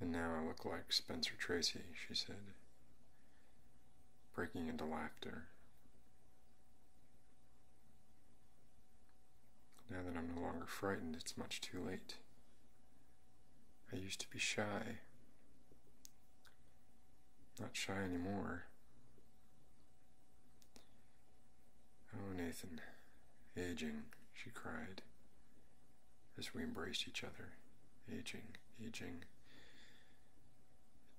And now I look like Spencer Tracy, she said, breaking into laughter. Now that I'm no longer frightened, it's much too late. I used to be shy. Not shy anymore. Oh, Nathan, aging, she cried as we embraced each other. Aging, aging.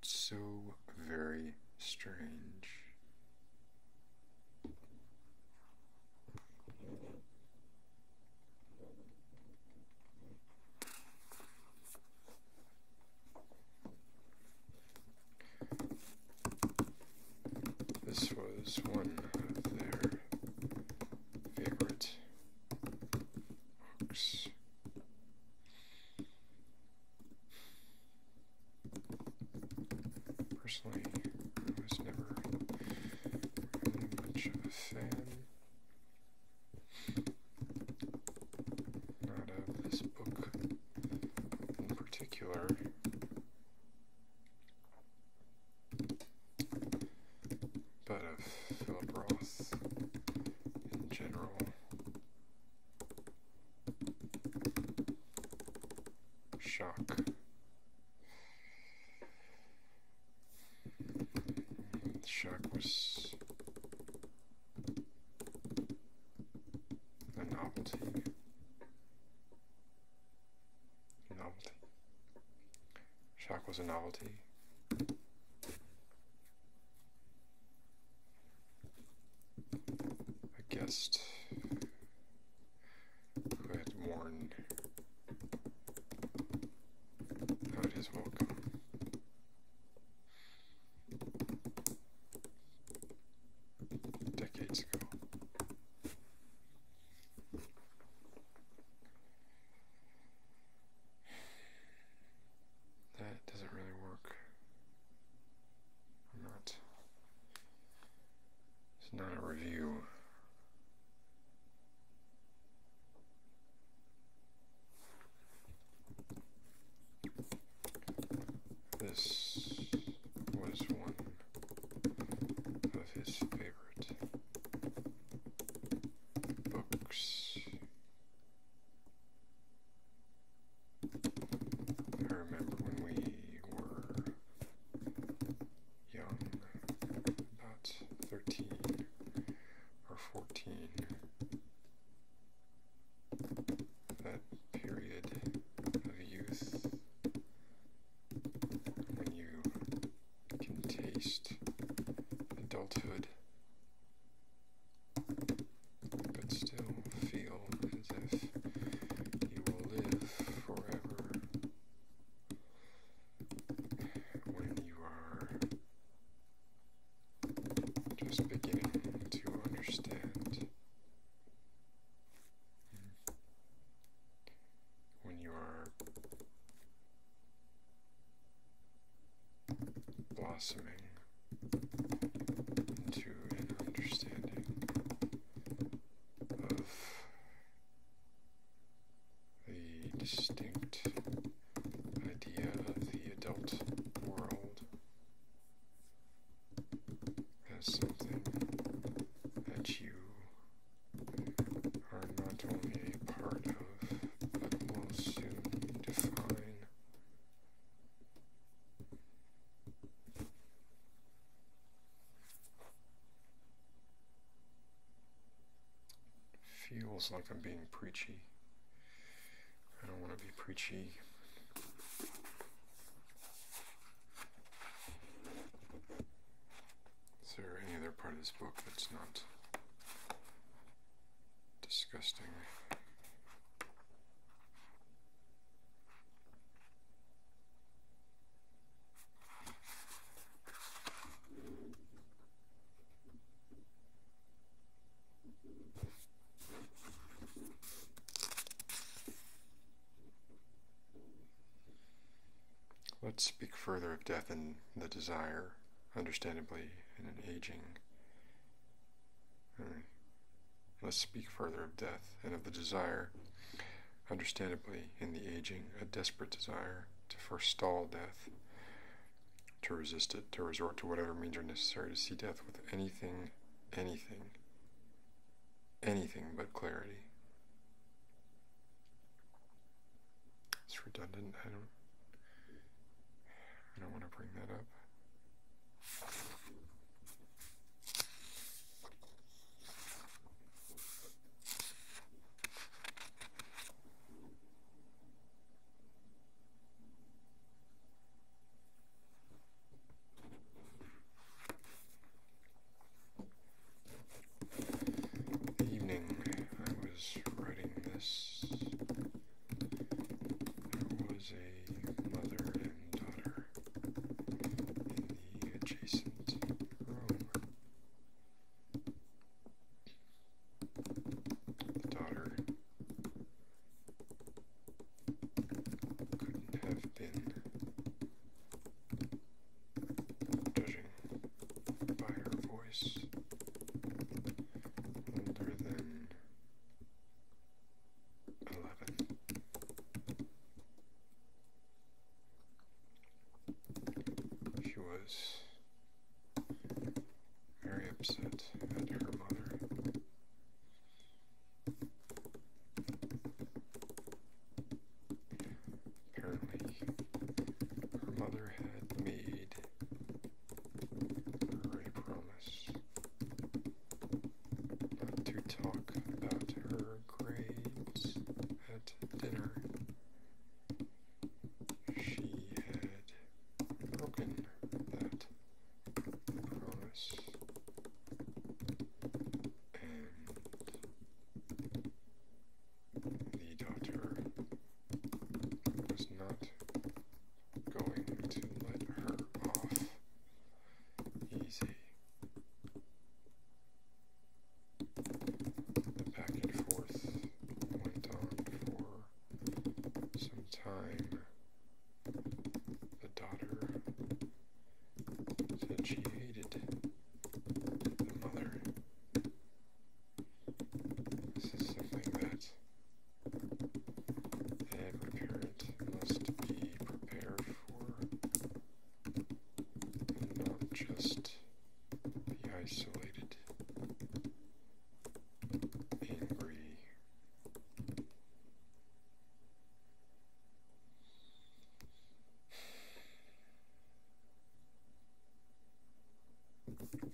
It's so very strange. This was one of their favorite books. Personally, I was never much of a fan out of this book in particular. But of Philip Roth in general. Shock. Shock was a novelty. Novelty. Shark was a novelty. A guest who had worn how it is welcome. Decades ago. That doesn't really work. I'm not. It's not a review this was one of his favorite books. I remember when we were young, not 13 or 14. That period of youth when you can taste adulthood. But still feel as if you will live forever when you are just beginning to understand, when you are blossoming into an understanding of the distinct idea of the adult world as something that you are not only a part of, but will soon define. Feels like I'm being preachy. I don't want to be preachy. Is there any other part of this book that's not disgusting? Let's speak further of death and the desire, understandably, in an aging. Hmm. Let's speak further of death and of the desire, understandably, in the aging, a desperate desire to forestall death, to resist it, to resort to whatever means are necessary to see death with anything, anything, anything but clarity. It's redundant. I don't. I don't want to bring that up evening I was writing this, there was a mother and daughter in the adjacent room. The daughter couldn't have been judging by her voice older than eleven. She was very upset at her mother. Apparently, her mother had made a promise not to talk about her grades at dinner she had broken that promise and the daughter was not going to let her off easy the back and forth went on for some time. The daughter said she hated the mother. This is something that every parent must be prepared for, not just be isolated, angry,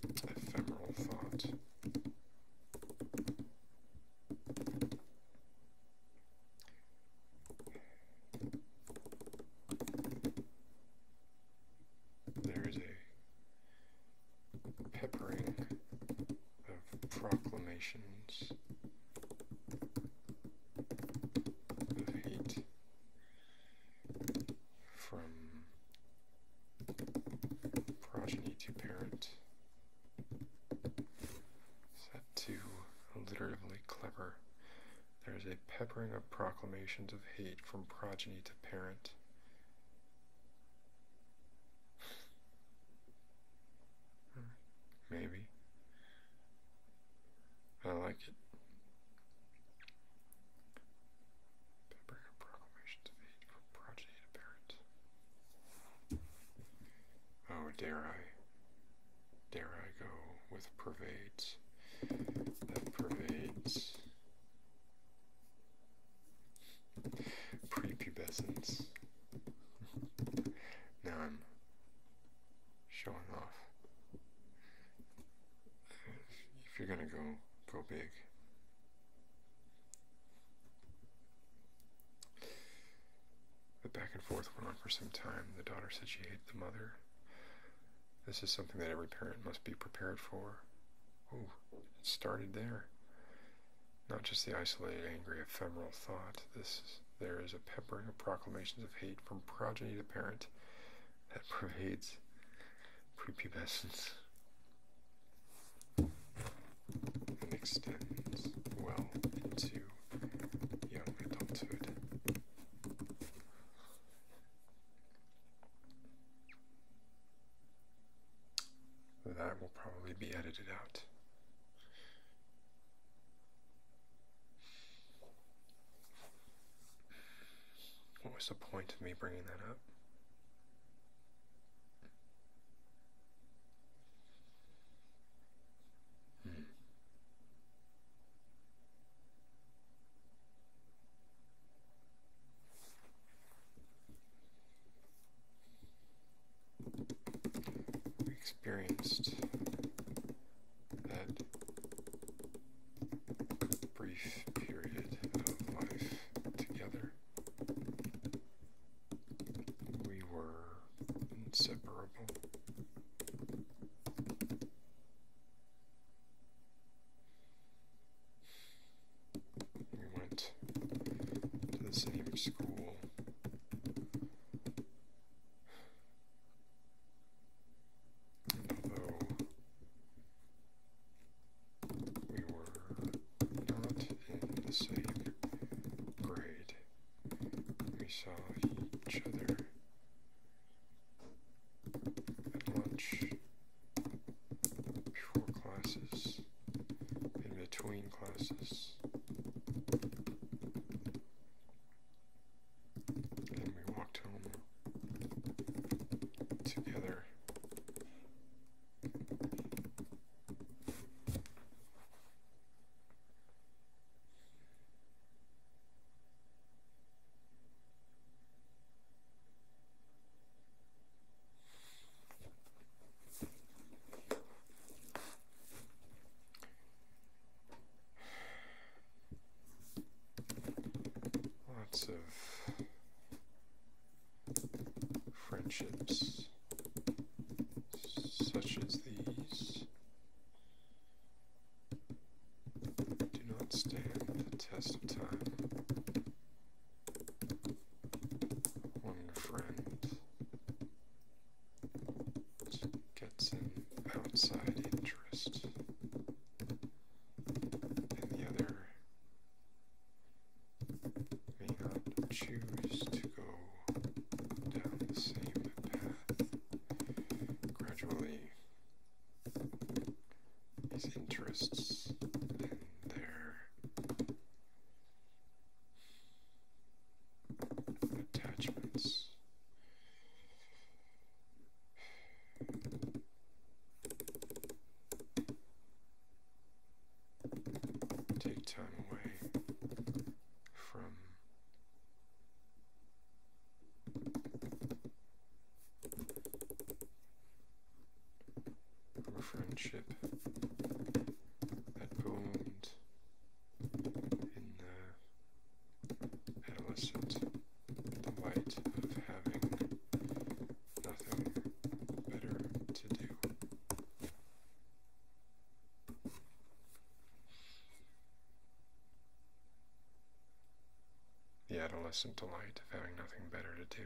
ephemeral thought there is a peppering of proclamations of hate from progeny to parent set to alliteratively clever there is a peppering of proclamations of hate from progeny to parent. Hmm. Maybe. I like it. Peppering of proclamations of hate from progeny to parent. Oh, dare I? Dare I go with pervades? That pervades. Prepubescence. now I'm showing off. If you're gonna go, go big. The back and forth went on for some time. The daughter said she hated the mother. This is something that every parent must be prepared for. Oh, it started there. Not just the isolated, angry, ephemeral thought. This there is a peppering of proclamations of hate from progeny to parent that pervades prepubescence and extends well into young adulthood. That will probably be edited out. What was the point of me bringing that up? Hmm experienced that brief period of life together. We were inseparable. We went to the same school. although we were not in the same grade, we saw each other lunch, before classes, in between classes. And we walked home together. Lots of friendships such as these do not stand the test of time. One friend gets an outside interest, and the other may not choose to go down the same path. Gradually, his interests and their attachments. Take time away from a friendship that boomed in the adolescent delight of having nothing better to do the adolescent delight of having nothing better to do.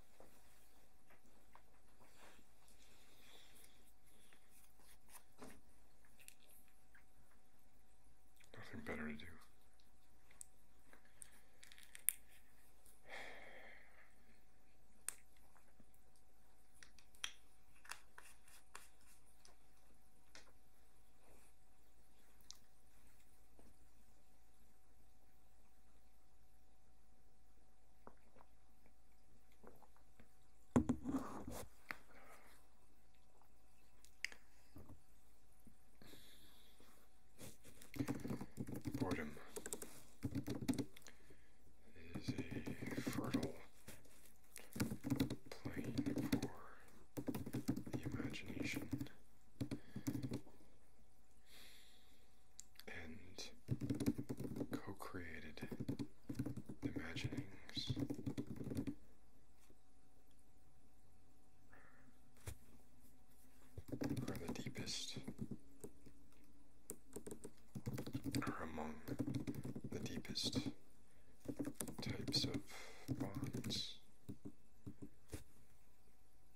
Nothing better to do. Boredom is a fertile plane for the imagination and co created imaginings. Are the deepest, or among the deepest types of bonds.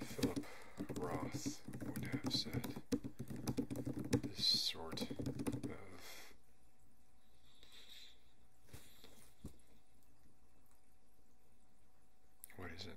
Philip Roth would have said this sort of what is it?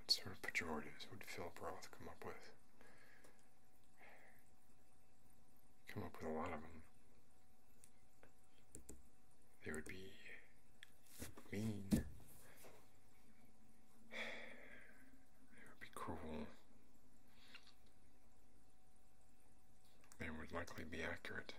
What sort of pejoratives would Philip Roth come up with? Come up with a lot of them. They would be mean. They would be cruel. They would likely be accurate.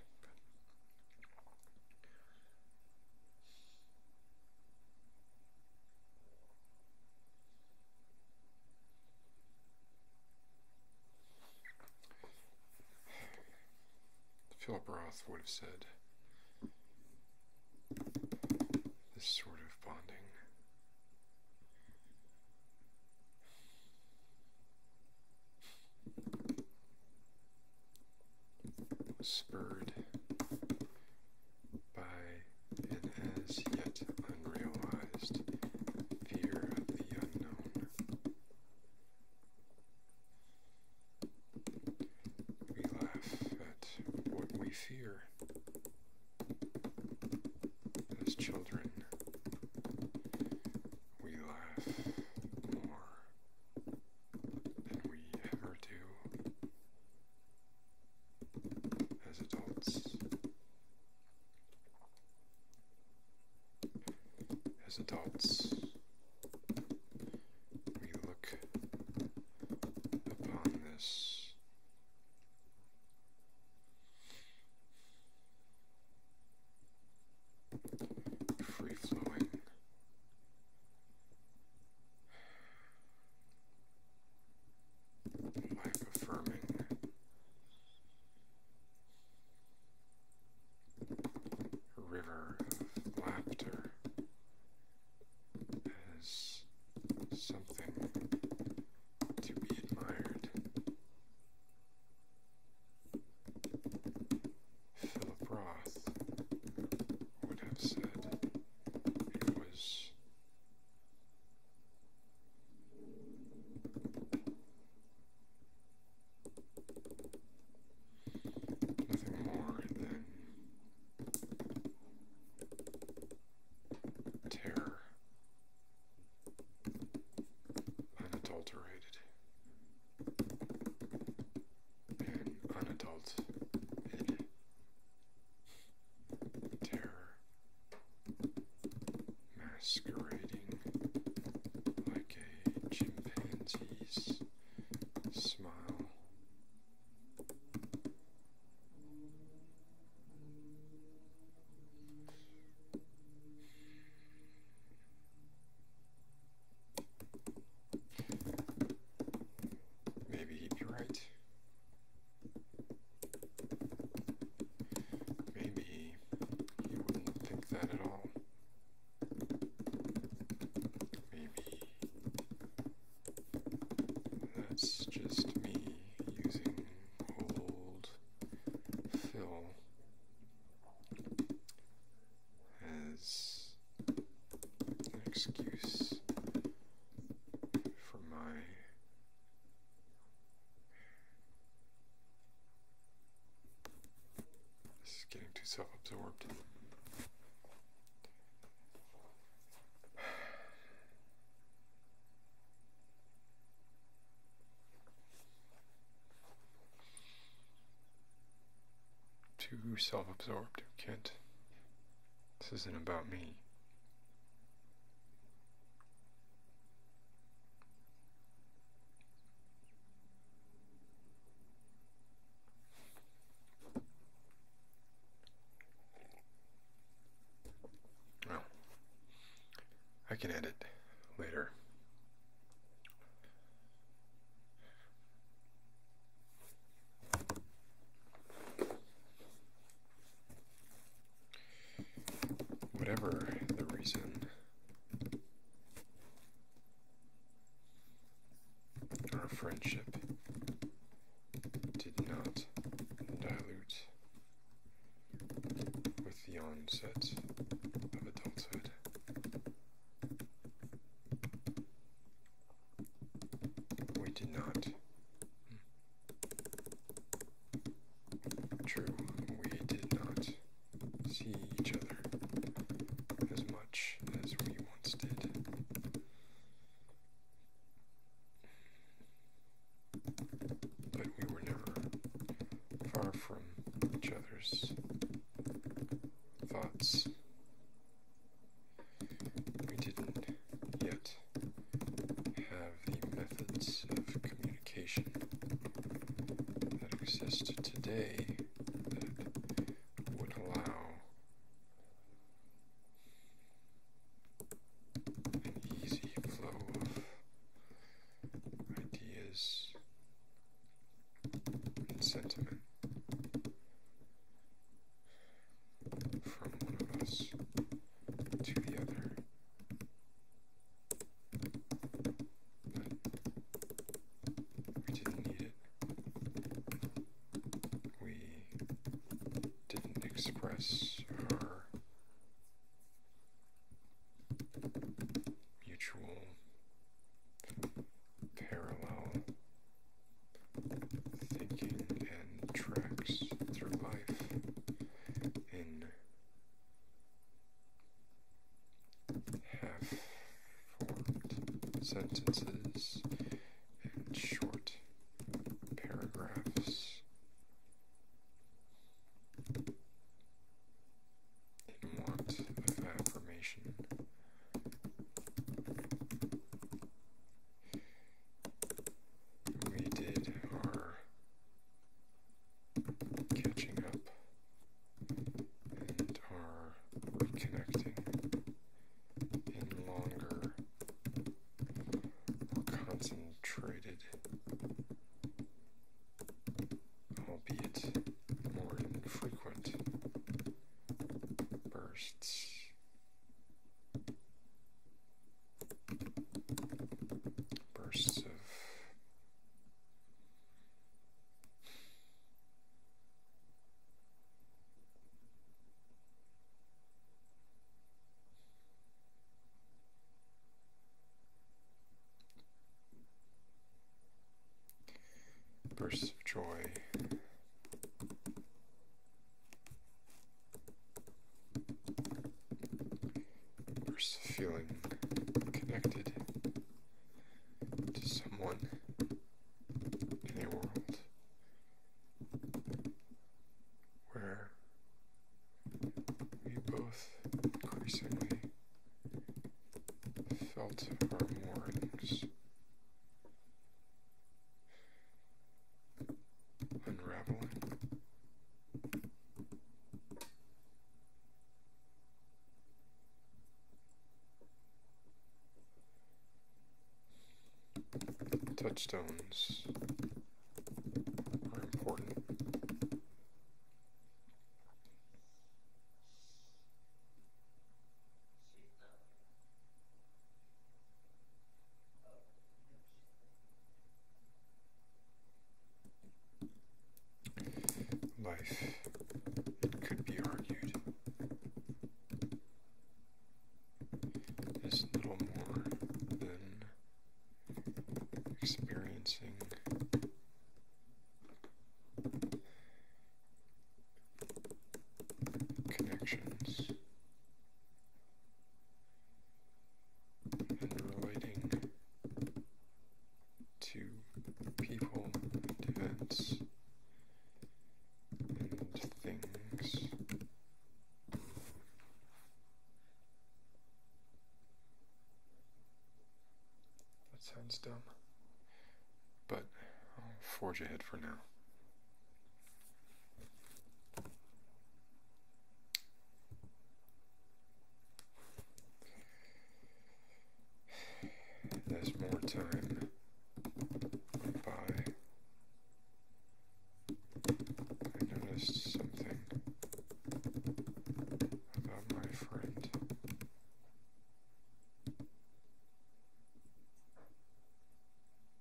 Philip Roth would have said this sort of bonding spurred by an as yet unrealized fear of the unknown. We laugh at what we fear. As children, we laugh more than we ever do as adults. As adults, we look upon this free flowing by confirming a river of laughter as something to be admired. Philip Roth would have said, it was nothing more than terror unadulterated and unadulterated terror masquerading like a chimpanzee's smile. Maybe he'd be right. Maybe he wouldn't think that at all. Maybe that's just me using old fill as an excuse for my this is getting too self-absorbed. Too self absorbed, who can't this isn't about me. Well, I can edit later. Whatever the reason, our friendship did not dilute with the onset of adulthood. We did not. Hmm. True, we did not see each other as much as we once did. But we were never far from each other's thoughts we didn't yet have the methods of communication that exist today that would allow an easy flow of ideas and sentiment from one of us to the other. But we didn't need it. We didn't express our mutual parallel thinking and tracks through life in half formed sentences and short paragraphs. In want of affirmation, we did our catching up and our reconnecting in longer, more concentrated, albeit more infrequent bursts bursts of bursts of joy versus feeling connected to someone in a world where we both increasingly felt our moorings unraveling. Touchstones are important. Life it could be argued is little more than experiencing connections and relating to people events and things. That sounds dumb, but I'll forge ahead for now. There's more time by. I noticed something about my friend.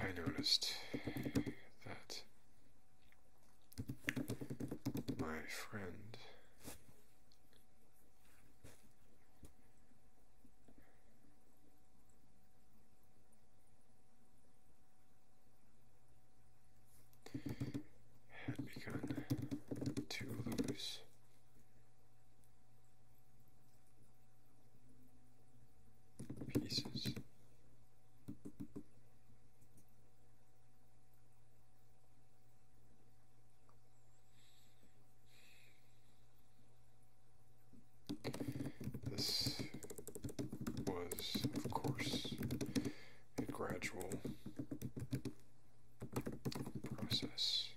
I noticed that my friend had begun to lose. Pieces this was, of course, a gradual process.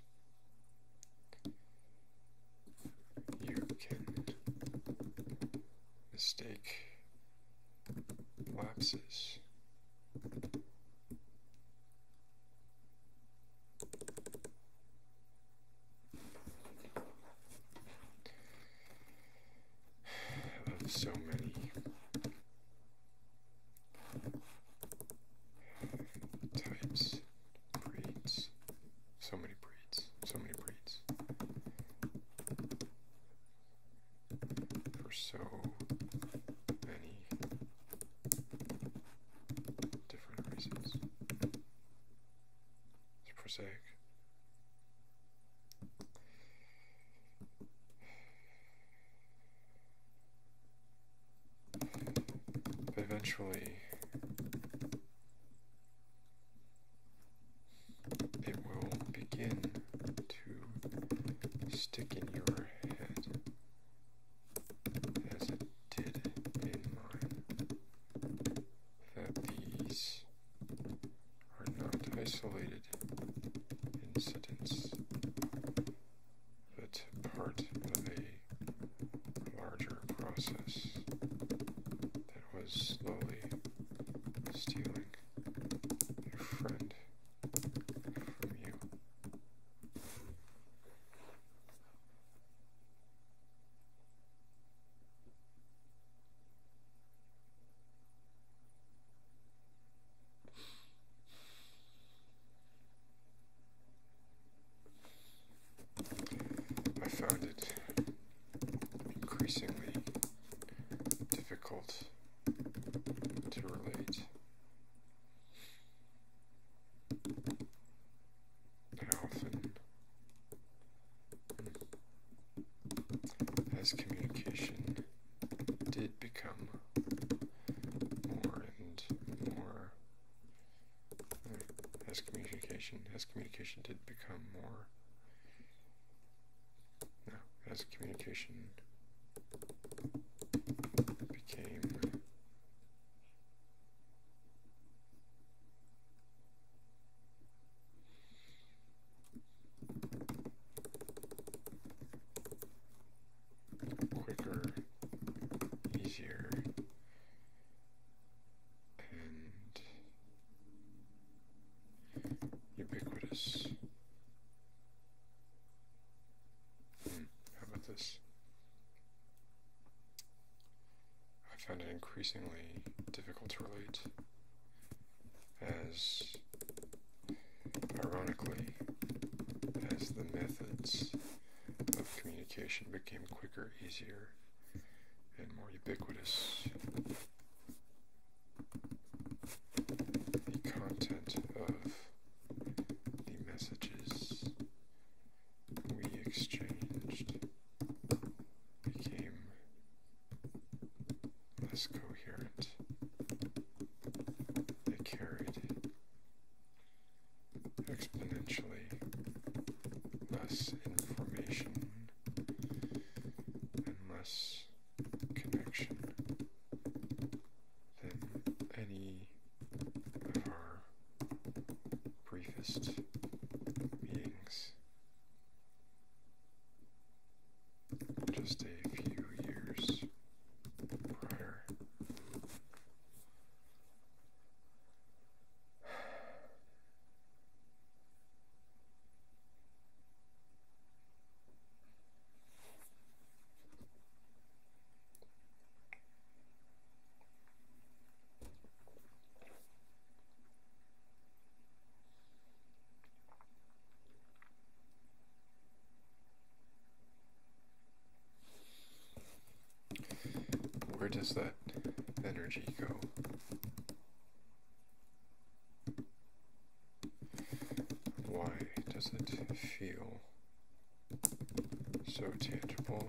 You mistake lapses so many types, breeds, so many breeds, so many breeds for so many different reasons. It's prosaic. But eventually, it will begin to stick in your head as it did in mine that these are not isolated incidents, but part of a larger process that was slowly stealing your friend from you. I found it increasingly difficult to relate as communication did become more and more as communication as communication did become more as communication became quicker, easier, and ubiquitous. Hmm, how about this? I found it increasingly difficult to relate, as ironically, as the methods of communication became quicker, easier, and more ubiquitous. The content of the messages we exchanged became less coherent. They carried exponentially less information and less connection than any of briefest meetings. Just a few years prior. Where does that energy go? Why does it feel so tangible?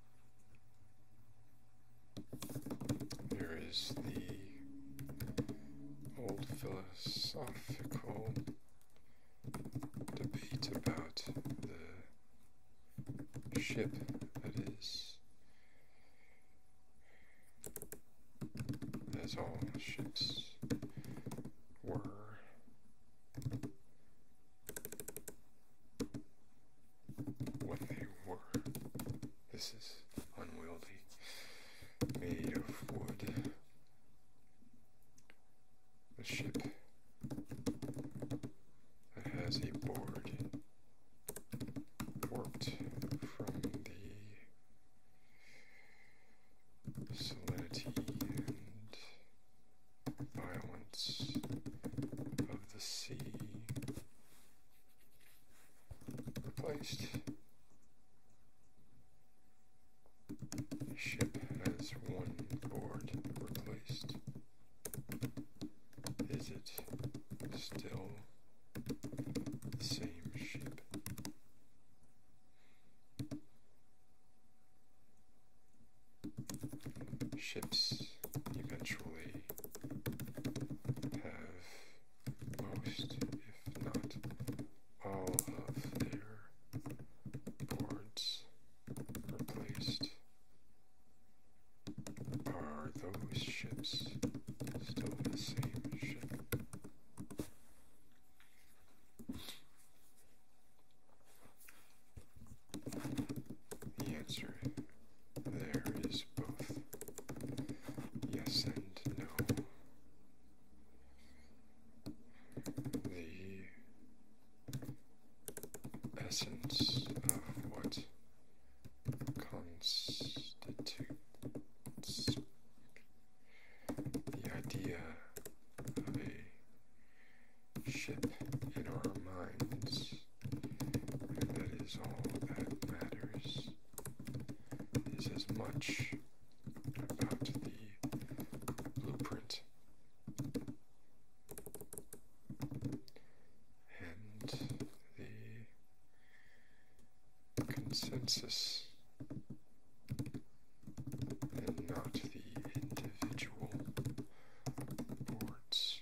Here is the old philosophical debate about the ship that is, as all ships were what they were. This is unwieldy, made of wood. A ship that has a board warped from the solidity and violence of the sea replaced. ship has one board replaced. Is it still the same ship? Ships eventually have most, if not all, of their boards replaced. Are those ships still the same ship? The answer there is both yes and no. The essence of what constitutes the idea of a ship in our minds, that is all that matters. It is as much about the blueprint and the consensus. And not the individual boards.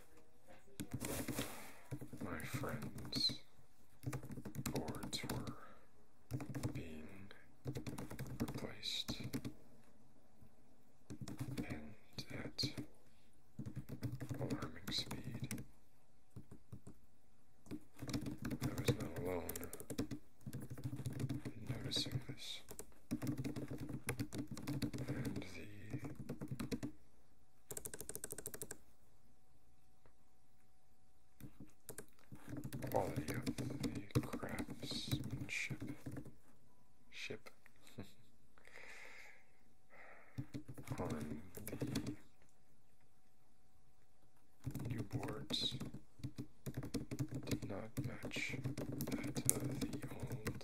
my friend's boards were being replaced, and at alarming speed. I was not alone in noticing this. And the Quality of the craftsmanship. Ship. On the new boards did not match that of the old.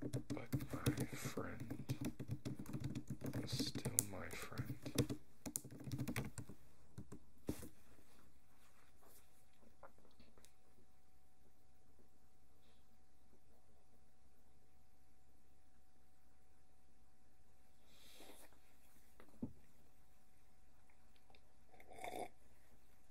But my friend is still my friend.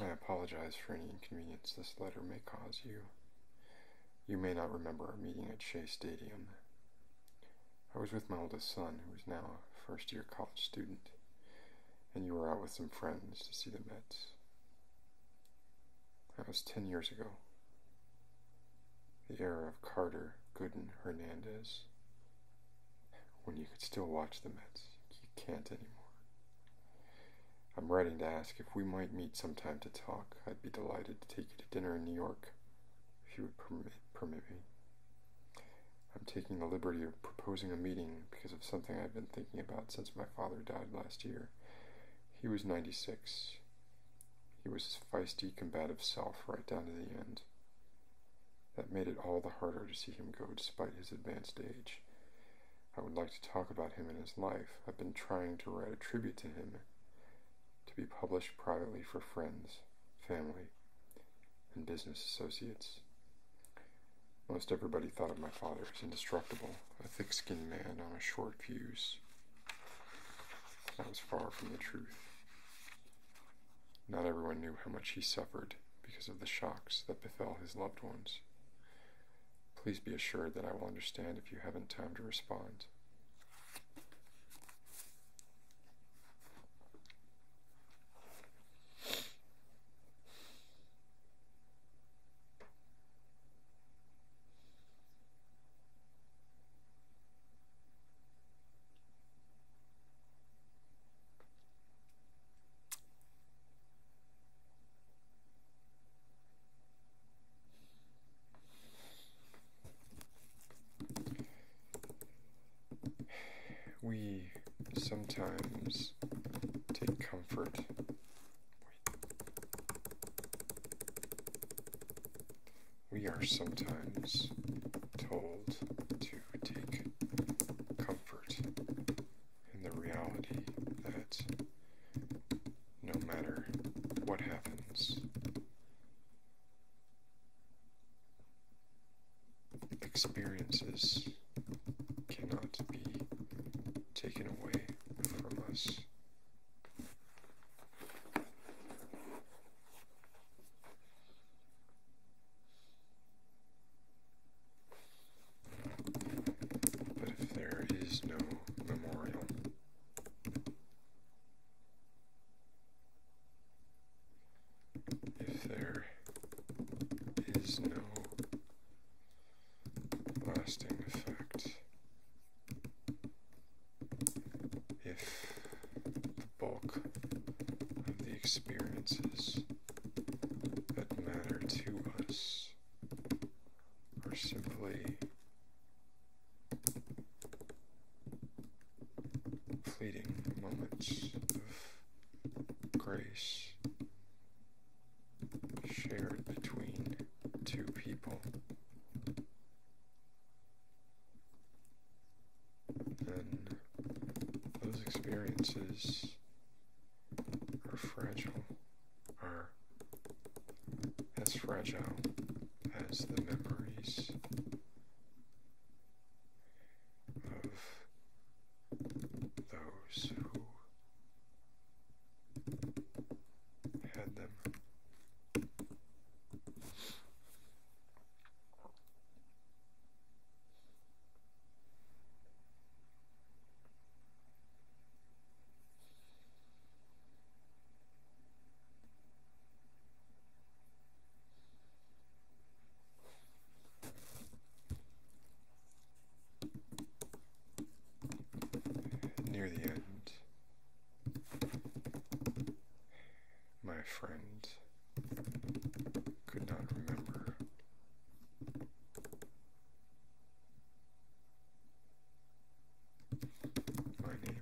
I apologize for any inconvenience this letter may cause you. You may not remember our meeting at Shea Stadium. I was with my oldest son, who is now a first year college student, and you were out with some friends to see the Mets. That was 10 years ago. The era of Carter, Gooden, Hernandez, when you could still watch the Mets. You can't anymore. I'm writing to ask if we might meet sometime to talk. I'd be delighted to take you to dinner in New York, if you would permit, permit me. I'm taking the liberty of proposing a meeting because of something I've been thinking about since my father died last year. He was 96. He was his feisty, combative self right down to the end. That made it all the harder to see him go despite his advanced age. I would like to talk about him and his life. I've been trying to write a tribute to him to be published privately for friends, family, and business associates. Most everybody thought of my father as indestructible, a thick skinned man on a short fuse. That was far from the truth. Not everyone knew how much he suffered because of the shocks that befell his loved ones. Please be assured that I will understand if you haven't time to respond. We sometimes take comfort we are sometimes told to to take comfort in the reality that no matter what happens, experiences cannot be taken away from us. But if there is no memorial, if there is no lasting effect, if bulk of the experiences that matter to us are simply fleeting moments of grace shared between two people and those experiences are fragile, are as fragile as the memories of those who had them near the end my friend could not remember. My name.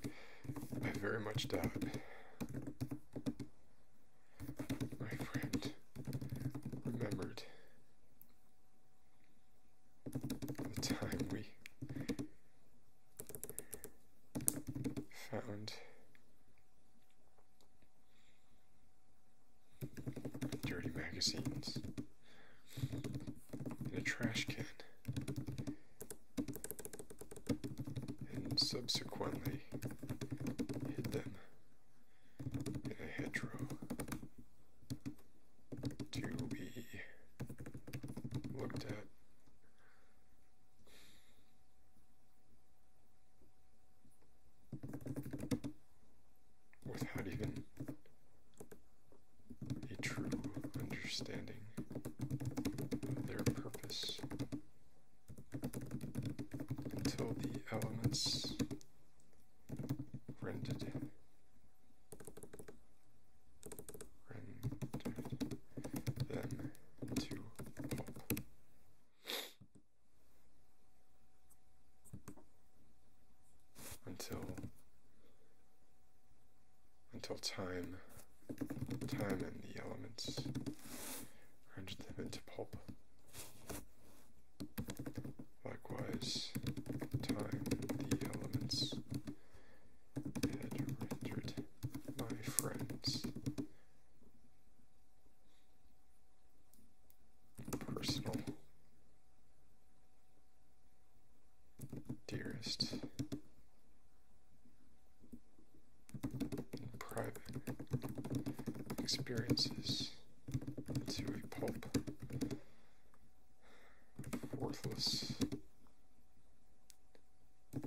I very much doubt my friend remembered the time we found dirty magazines, and a trash can. And subsequently hid them in a hedgerow to be looked at without even a true understanding of their purpose until the elements rendered rendered them into until until time time and the elements grunge them into pulp. Likewise, time the elements had rendered my friends personal dearest private experiences to a pulp worthless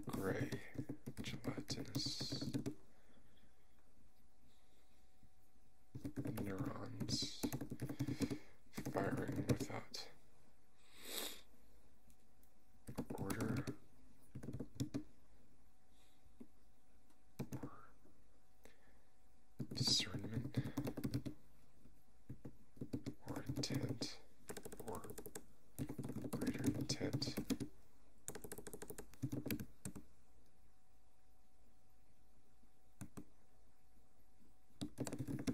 gray gelatinous neurons firing without order or discernment or intent or greater intent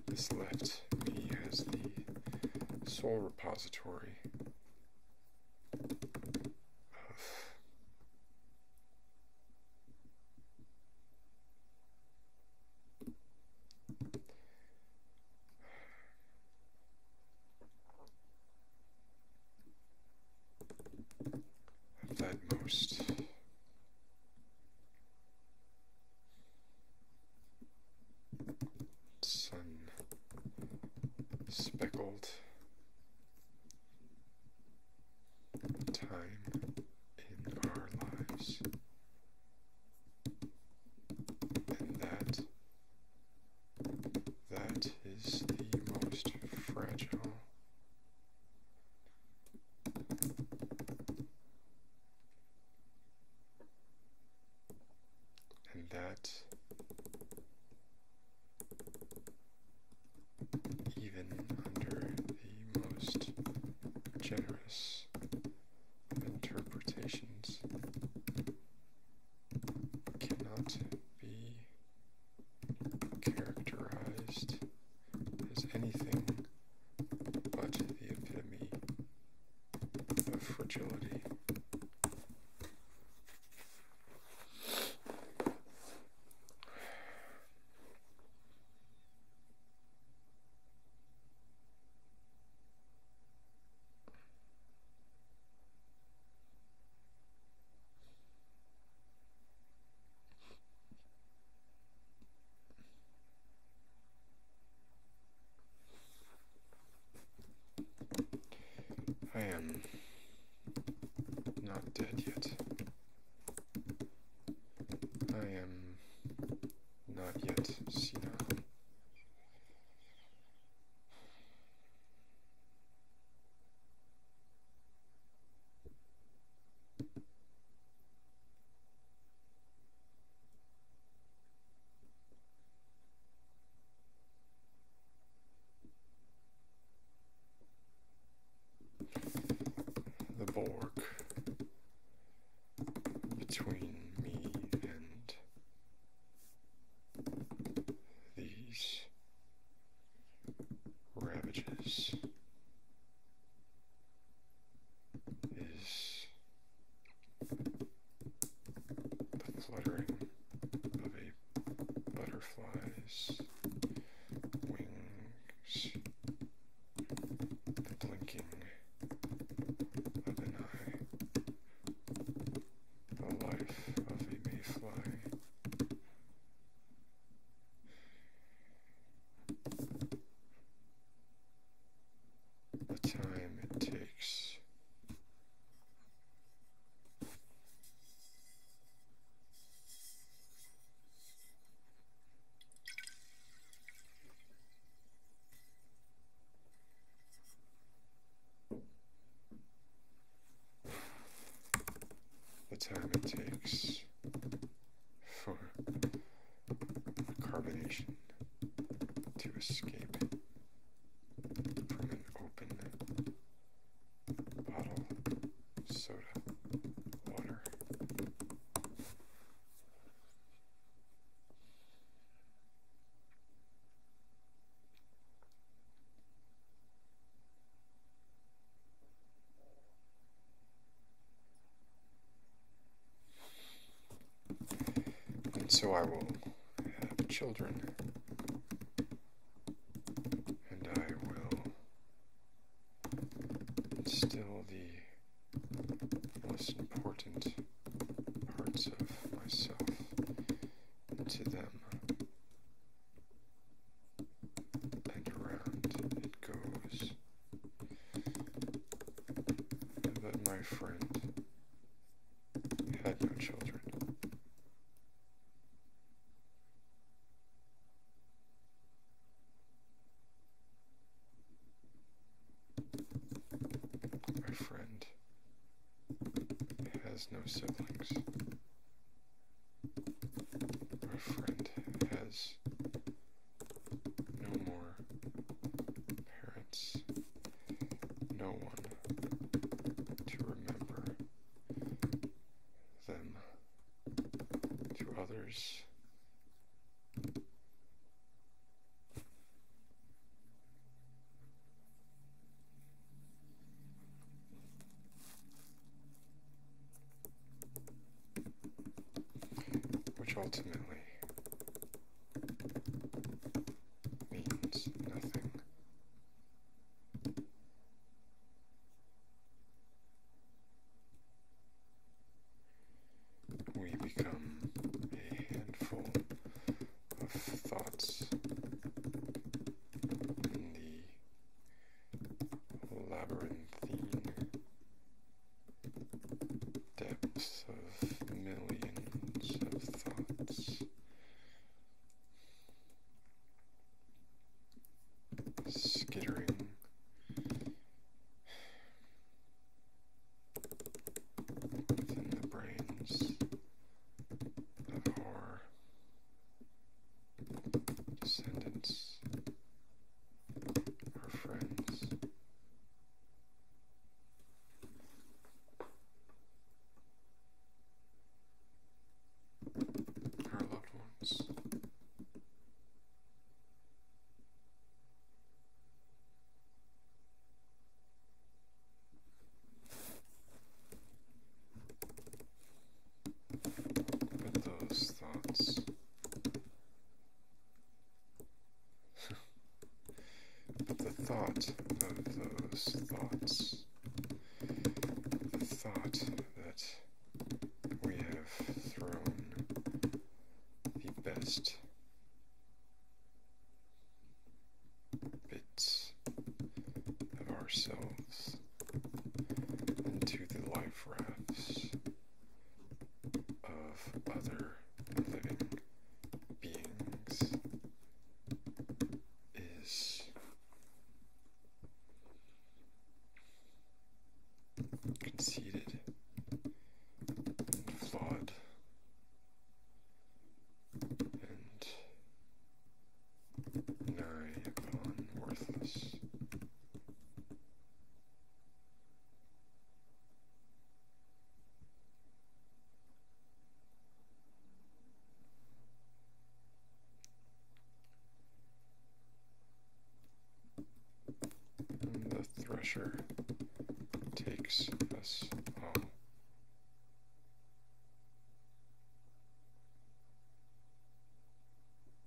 this left me as the sole repository of most. Sun speckled time in our lives, and that that is the most fragile and that even under the most generous interpretations cannot be characterized as anything but the epitome of fragility. I am not dead yet. I am not yet seen the Borg between me and these ravages is the fluttering of a butterfly's wings, the blinking of an eye, the life of a mayfly, the time it takes. The time it takes for the carbonation to escape from an open bottle soda water. And so I will have children, and I will instill the most important parts of myself into them and around it goes. But my friend had no children. My friend has no siblings our friend has no more parents, no one to remember them to others which ultimately means nothing. We become a handful of thoughts in the labyrinthine depths of millions of thoughts. Skittering within the brains of horror descendants, or friends. Our loved ones with those thoughts. the thought of those thoughts, the thought that we have thrown the best bits of ourselves into the life rafts of other living beings is conceited and flawed and nigh upon worthless the thresher takes us home.